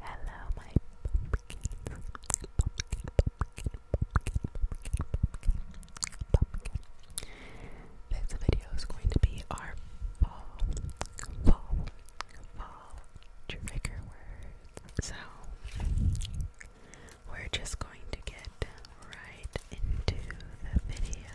Hello, my This video is going to be our fall, trigger words. So, we're just going to get right into the video.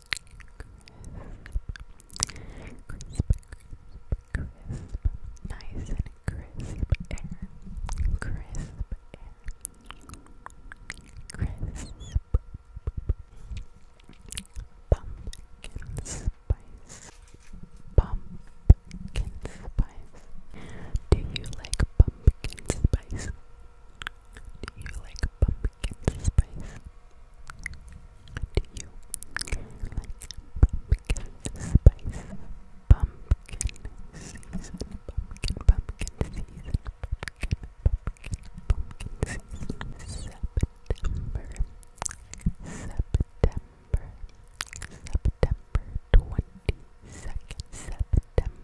Crisp, crisp, Nice and crisp air. Crisp air. Crisp. Pumpkin spice. Pumpkin spice. Do you like pumpkin spice? Do you like pumpkin spice? Do you like pumpkin spice? Pumpkin season, pumpkin, pumpkin season, pumpkin, pumpkin, pumpkin season. September, September, September twenty second, September,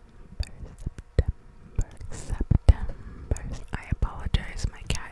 September, September. I apologize, my cat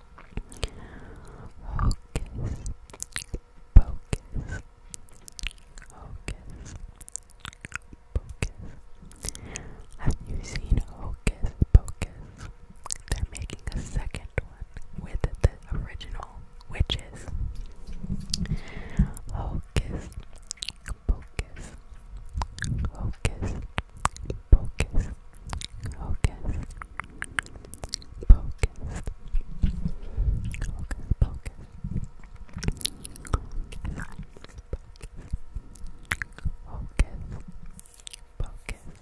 Hocus pocus. Have you seen Hocus Pocus? They're making a second one with the original witches. Hocus Pocus. Hocus focused, focused, focused, focused, focused. Focus, focus.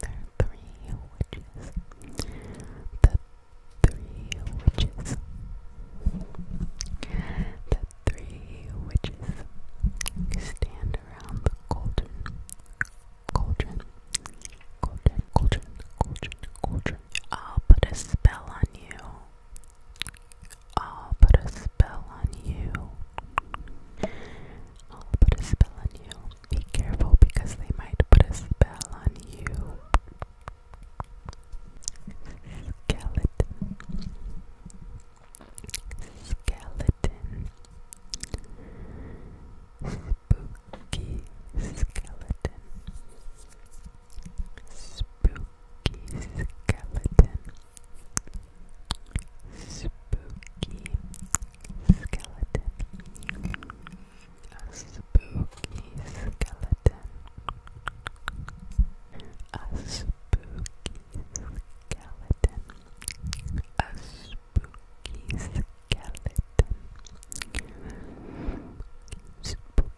There are three witches. The three witches. The three witches stand around the cauldron. Cauldron. Cauldron, cauldron, cauldron, cauldron. I'll put a spell on you. I'll put a spell on you. I'll put a spell on you. Be careful because they might put a spell on you. Skeleton skeleton spooky skeleton spooky skeleton spooky skeleton a spooky skeleton a spooky skeleton a spooky skeleton. Spooky,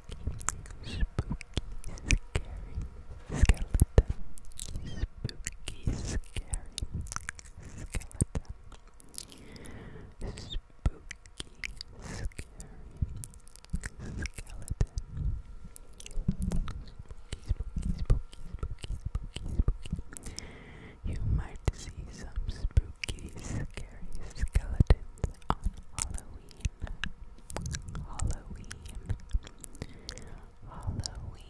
spooky, scary skeleton. Spooky, scary skeleton. Spooky, scary skeleton. You might see some spooky, scary skeletons on Halloween. Halloween. Halloween.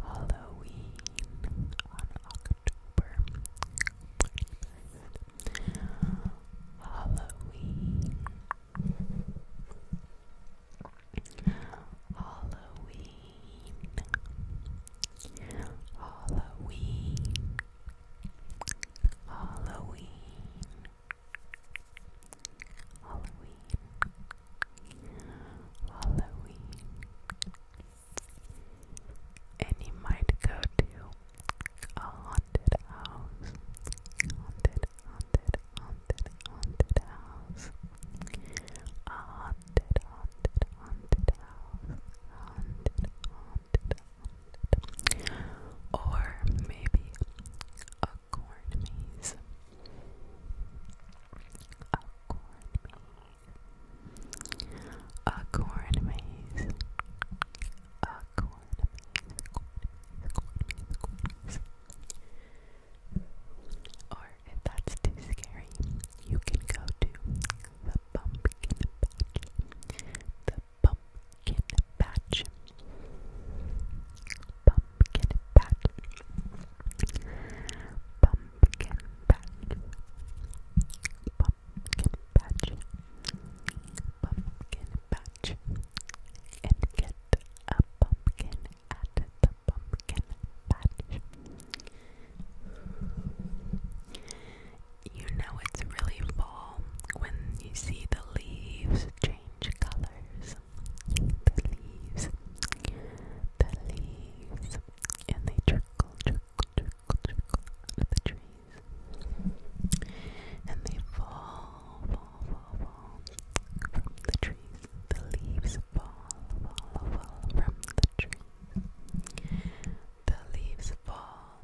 Halloween on October Halloween Halloween, Halloween, Halloween, Halloween, Halloween, and you might go to a haunted house, haunted, haunted, haunted house. A haunted, haunted, haunted house. Haunted, haunted, haunted. Or maybe a corn maze. A corn maze. A corn maze. Accord Or if that's too scary, you can go to the pumpkin patch. The Pumpkin patch. Pumpkin patch. Pumpkin patch. Pumpkin patch and get a pumpkin at the pumpkin patch. You know it's really fall when you see the leaves change colors. The leaves, the leaves, and they trickle, trickle, trickle, trickle out the trees and they fall, fall, fall, fall from the trees. The leaves fall, fall, fall from the trees. The leaves fall,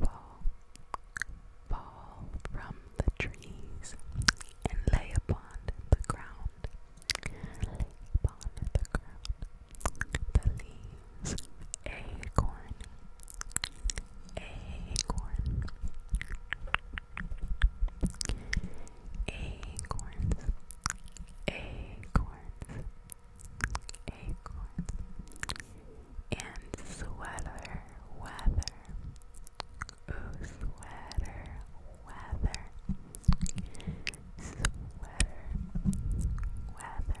fall, fall from the trees and lay upon the ground. Lay upon the ground. The leaves, acorn, acorn acorns acorns acorns and sweater weather ooh sweater weather sweater weather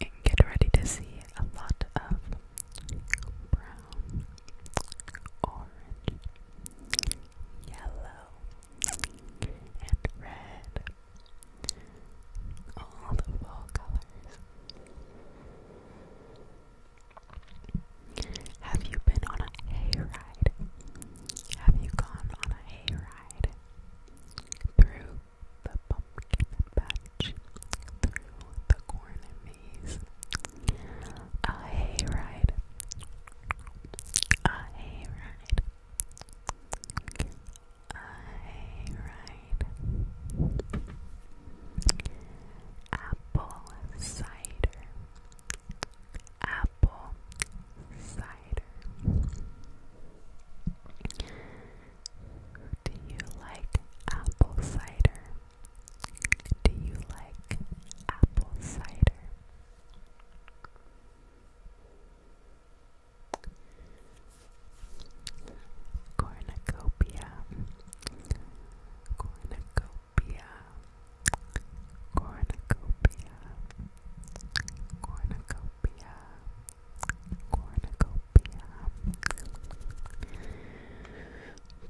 and get ready to see a lot of brown, orange, yellow, and red. All the fall colors. Have you been on a hayride? Have you gone on a hayride? Through the pumpkin patch through the corn maze. A hayride, a hayride, a hayride. Apple cider, apple cider cider? Do you like apple cider? Do you like apple cider? Cornucopia, cornucopia, cornucopia, cornucopia, cornucopia,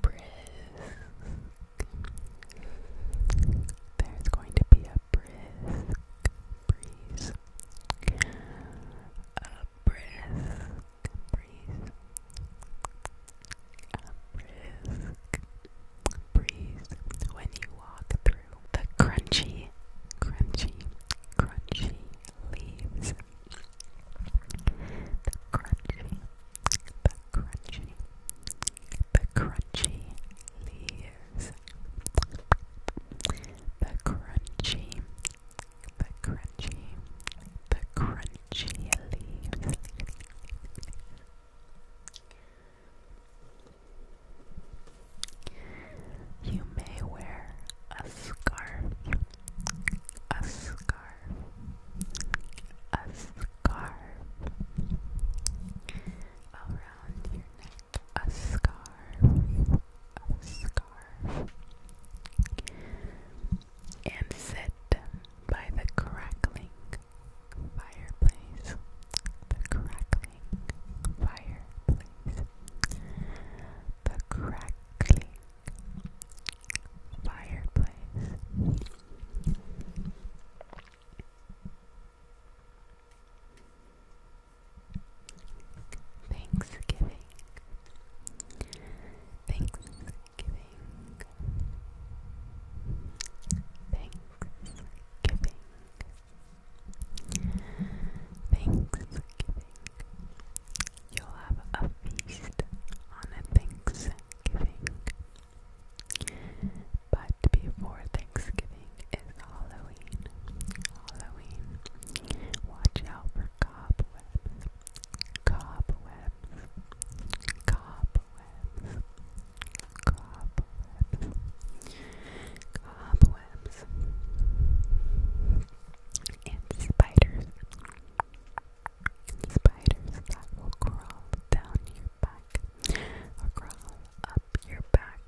brisk. There's going to be a brisk breeze, a brisk breeze, a brisk breeze when you walk through the crunchy, crunchy, crunchy leaves. The crunchy, the crunchy, the crunchy leaves. The crunchy, the crunchy, the crunchy leaves. You may wear a scarf, a scarf, a scarf around your neck, a scarf, a scarf, and sit by the crackling fireplace, fireplace. The crackling fireplace. Thanksgiving. Thanksgiving. Thanksgiving. Thanksgiving. You'll have a feast on Thanksgiving. But before Thanksgiving is Halloween. Halloween. Watch out for cobwebs. Cobwebs. Cobwebs. Cobwebs. Cobwebs. And spiders. Spiders that will crawl down your back or crawl up your back.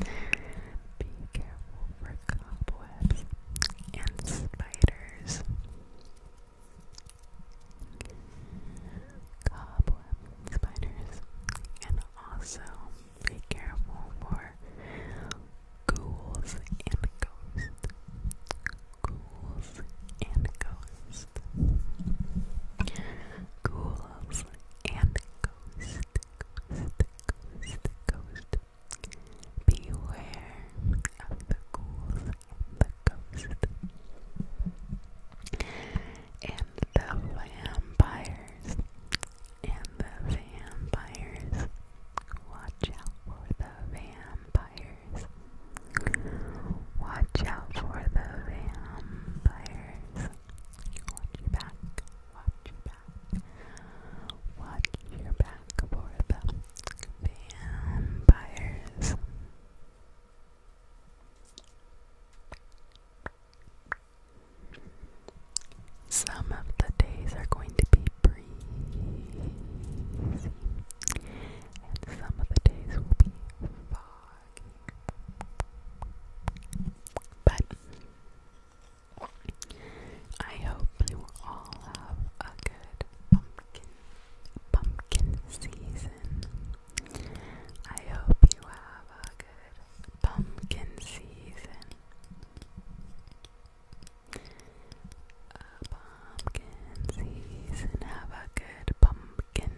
Be careful for cobwebs and spiders cobweb spiders, and also be careful for ghouls and ghosts. Ghouls and ghosts. Ghouls and ghost, ghost, Beware of the ghouls and the ghost and the vampires, and the vampires. Watch out for the vampires. Watch out for the vampires. Watch your back. Watch your back. Watch your back for the vampires. Some of the days are going to be breezy, and some of the days will be foggy. But I hope you all have a good pumpkin pumpkin season. I hope you have a good pumpkin season. A pumpkin season. Have a good pumpkin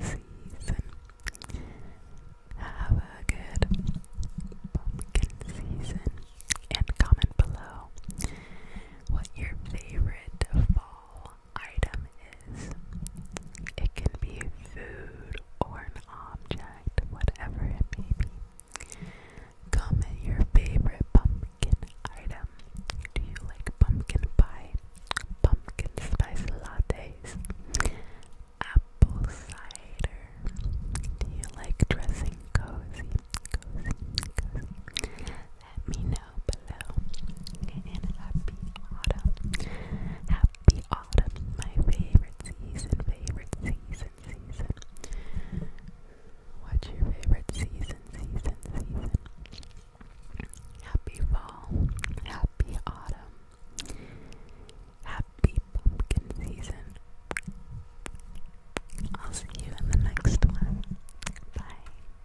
season. Have a good pumpkin season. And comment below what your favorite fall item is. It can be food or an object, whatever it may be. Comment your favorite pumpkin item. Do you like pumpkin pie, pumpkin spice lattes, apple cider? Do you like dressing cozy, cozy, cozy? let me know below. And happy autumn. Happy autumn, my favorite season, favorite season, season. What's your favorite season, season, season? Happy fall, happy autumn, happy pumpkin season. I'll see you in the next one. Bye.